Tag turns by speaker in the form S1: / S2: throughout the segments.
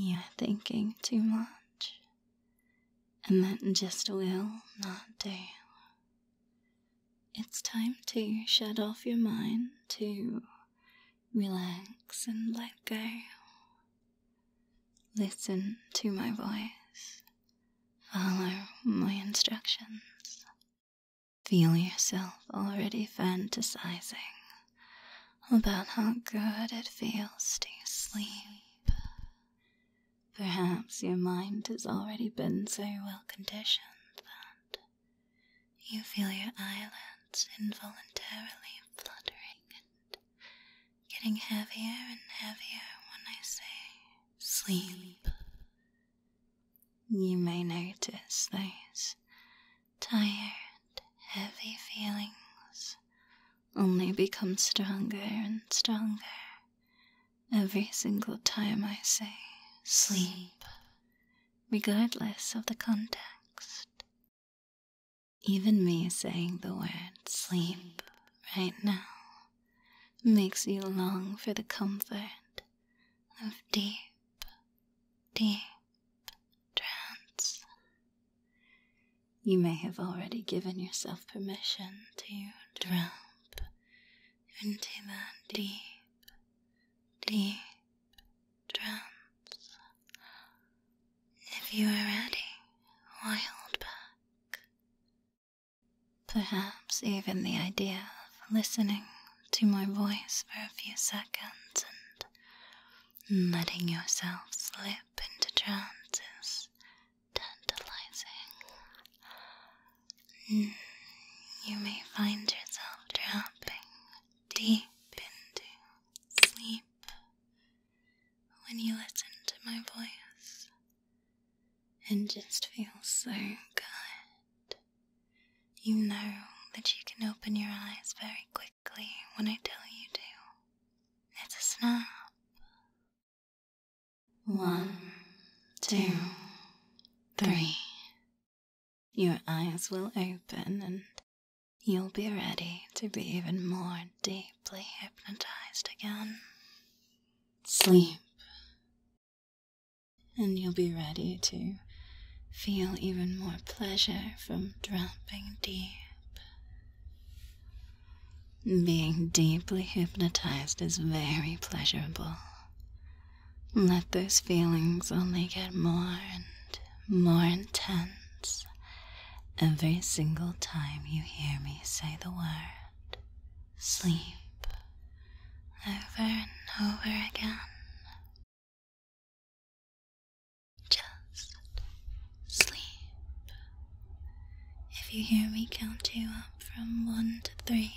S1: You're thinking too much, and that just will not do. It's time to shut off your mind, to relax and let go. Listen to my voice. Follow my instructions. Feel yourself already fantasizing about how good it feels to sleep. Perhaps your mind has already been so well conditioned that you feel your eyelids involuntarily fluttering getting heavier and heavier when I say sleep. You may notice those tired, heavy feelings only become stronger and stronger every single time I say sleep, regardless of the context. Even me saying the word sleep right now makes you long for the comfort of deep, deep trance. You may have already given yourself permission to drop into that deep, deep trance. If you are ready, hold back, Perhaps even the idea of listening to my voice for a few seconds and letting yourself slip into trance is tantalizing. Mm, you may find yourself dropping deep into sleep when you listen to my voice and just feels so good. You know that you can open your eyes very quickly when I tell you to. It's a snap. One, two, three. Your eyes will open and you'll be ready to be even more deeply hypnotized again sleep, and you'll be ready to feel even more pleasure from dropping deep. Being deeply hypnotized is very pleasurable. Let those feelings only get more and more intense every single time you hear me say the word sleep over and over again. Just sleep. If you hear me count you up from one to three,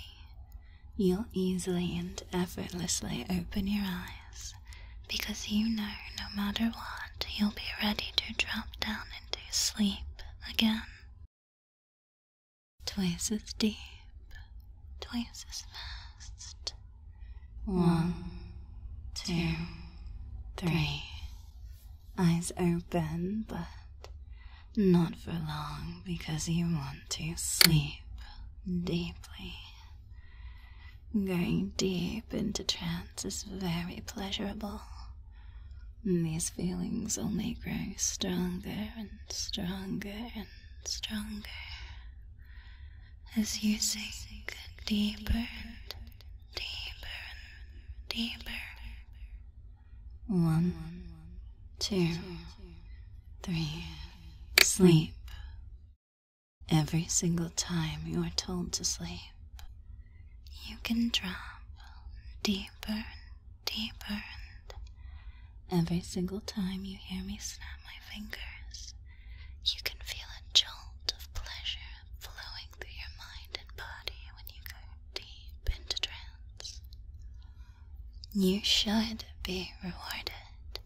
S1: you'll easily and effortlessly open your eyes because you know no matter what, you'll be ready to drop down to sleep again. Twice as deep, twice as fast. One, two, three. Eyes open, but not for long because you want to sleep deeply. Going deep into trance is very pleasurable. And these feelings only grow stronger and stronger and stronger as you sink deeper and deeper and deeper. One, two, three, sleep. Every single time you are told to sleep, you can drop deeper and deeper, and every single time you hear me snap my fingers, you can feel a jolt of pleasure flowing through your mind and body when you go deep into trance. You should be rewarded.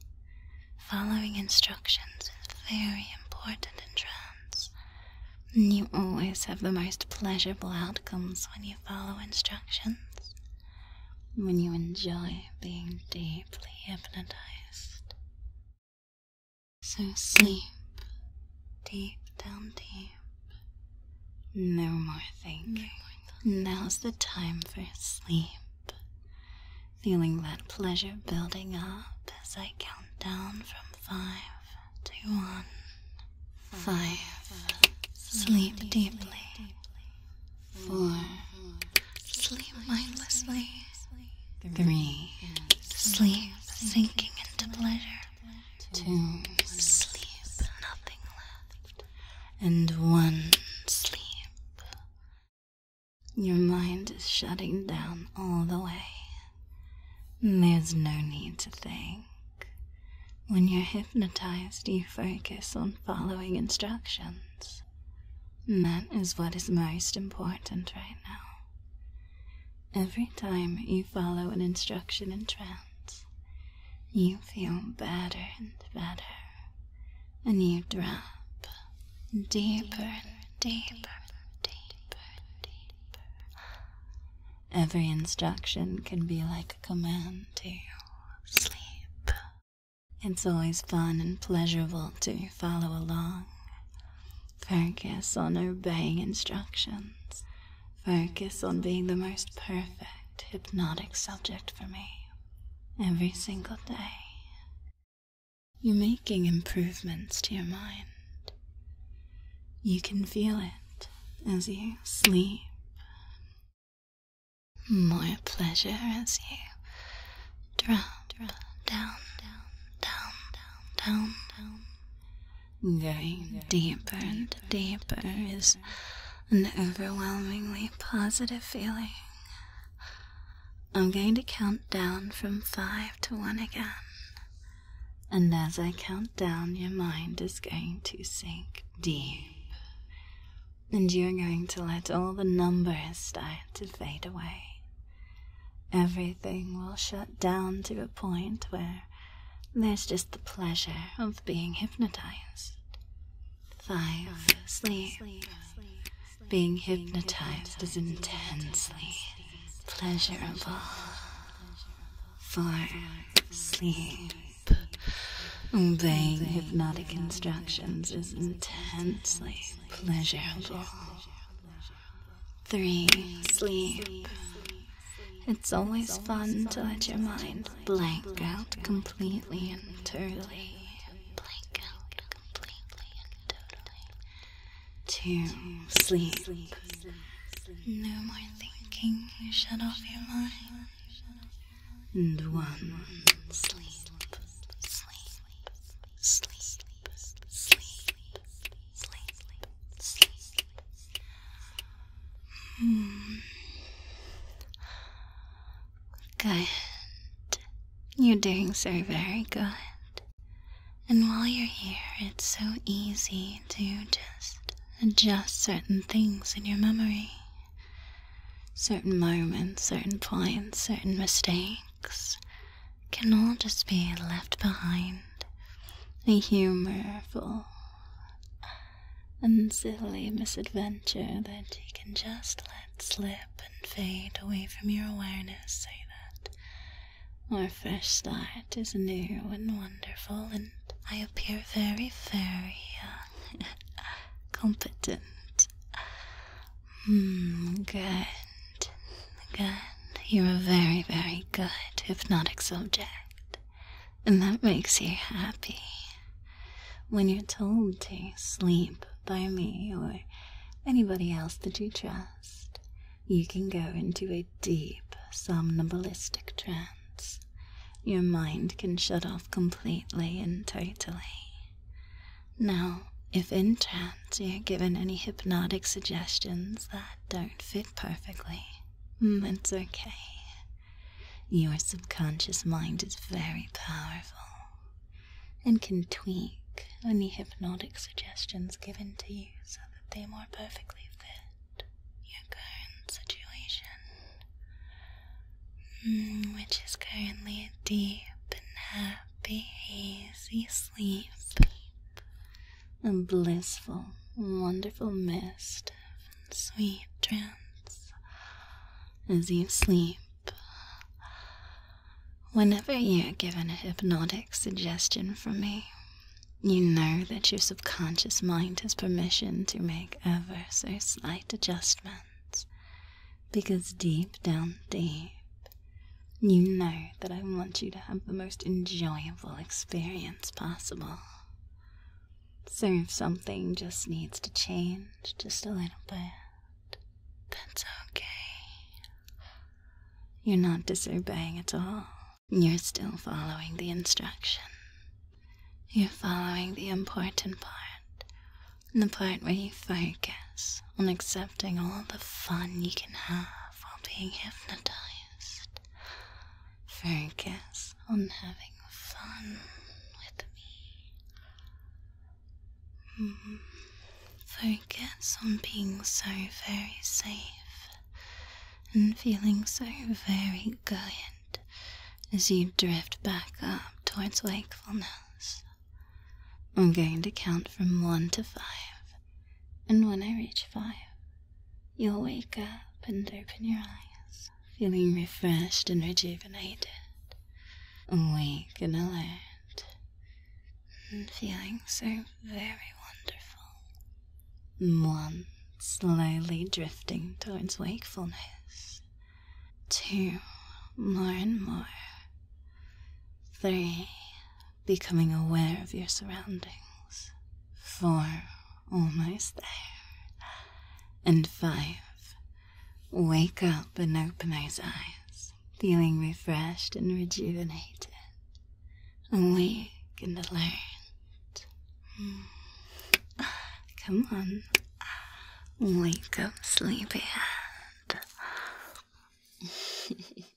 S1: Following instructions is very important in trance, you always have the most pleasurable outcomes when you follow instructions. When you enjoy being deeply hypnotized. So sleep deep down deep. No more thinking. Now's the time for sleep. Feeling that pleasure building up as I count down from five. Five, Sleep deeply. Four. Sleep mindlessly. Three. Sleep sinking into pleasure. Two. Sleep nothing left. And one. Sleep. Your mind is shutting down all the way. There's no need to think. When you're hypnotized, you focus on following instructions. That is what is most important right now. Every time you follow an instruction in trance, you feel better and better, and you drop deeper and deeper, deeper, deeper, deeper, Every instruction can be like a command to sleep. It's always fun and pleasurable to follow along. Focus on obeying instructions. Focus on being the most perfect hypnotic subject for me every single day. You're making improvements to your mind. You can feel it as you sleep. More pleasure as you drop, down, down, down, down, down, down. Going deeper and deeper is an overwhelmingly positive feeling. I'm going to count down from five to one again. And as I count down, your mind is going to sink deep. And you're going to let all the numbers start to fade away. Everything will shut down to a point where there's just the pleasure of being hypnotized. Five, sleep. Being hypnotized is intensely pleasurable for sleep. Obeying hypnotic instructions is intensely pleasurable. Three, sleep. It's always fun to let your mind Blank out completely and totally to sleep. No more thinking, shut off your mind. And one sleep. Sleep, sleep, sleep, sleep, sleep, sleep. Hmm. Good. You're doing so very good. And while you're here, it's so easy to just adjust certain things in your memory certain moments, certain points, certain mistakes can all just be left behind. A humorous, and silly misadventure that you can just let slip and fade away from your awareness Say that our fresh start is new and wonderful, and I appear very, very uh, competent. Hmm, good. Good. You're a very, very good hypnotic subject, and that makes you happy. When you're told to sleep by me or anybody else that you trust, you can go into a deep somnambulistic trance. Your mind can shut off completely and totally. Now, if in trance you're given any hypnotic suggestions that don't fit perfectly, that's mm, okay. Your subconscious mind is very powerful and can tweak any hypnotic suggestions given to you so that they more perfectly fit your current situation, mm, which is currently deep and happy, hazy sleep, a blissful, wonderful mist and sweet trance as you sleep. Whenever you're given a hypnotic suggestion from me, you know that your subconscious mind has permission to make ever so slight adjustments. Because deep down deep, you know that I want you to have the most enjoyable experience possible. So if something just needs to change just a little bit, that's okay. You're not disobeying at all. You're still following the instruction. You're following the important part. The part where you focus on accepting all the fun you can have while being hypnotized. Focus on having fun with me. Mm-hmm. Focus on being so very safe and feeling so very good as you drift back up towards wakefulness. I'm going to count from one to five, and when I reach five, you'll wake up and open your eyes, feeling refreshed and rejuvenated, awake and alert, and feeling so very wonderful. One, slowly drifting towards wakefulness. Two, more and more. Three, becoming aware of your surroundings. Four, almost there. And five, wake up and open those eyes feeling refreshed and rejuvenated awake and alert. Come on, wake up, sleepyhead.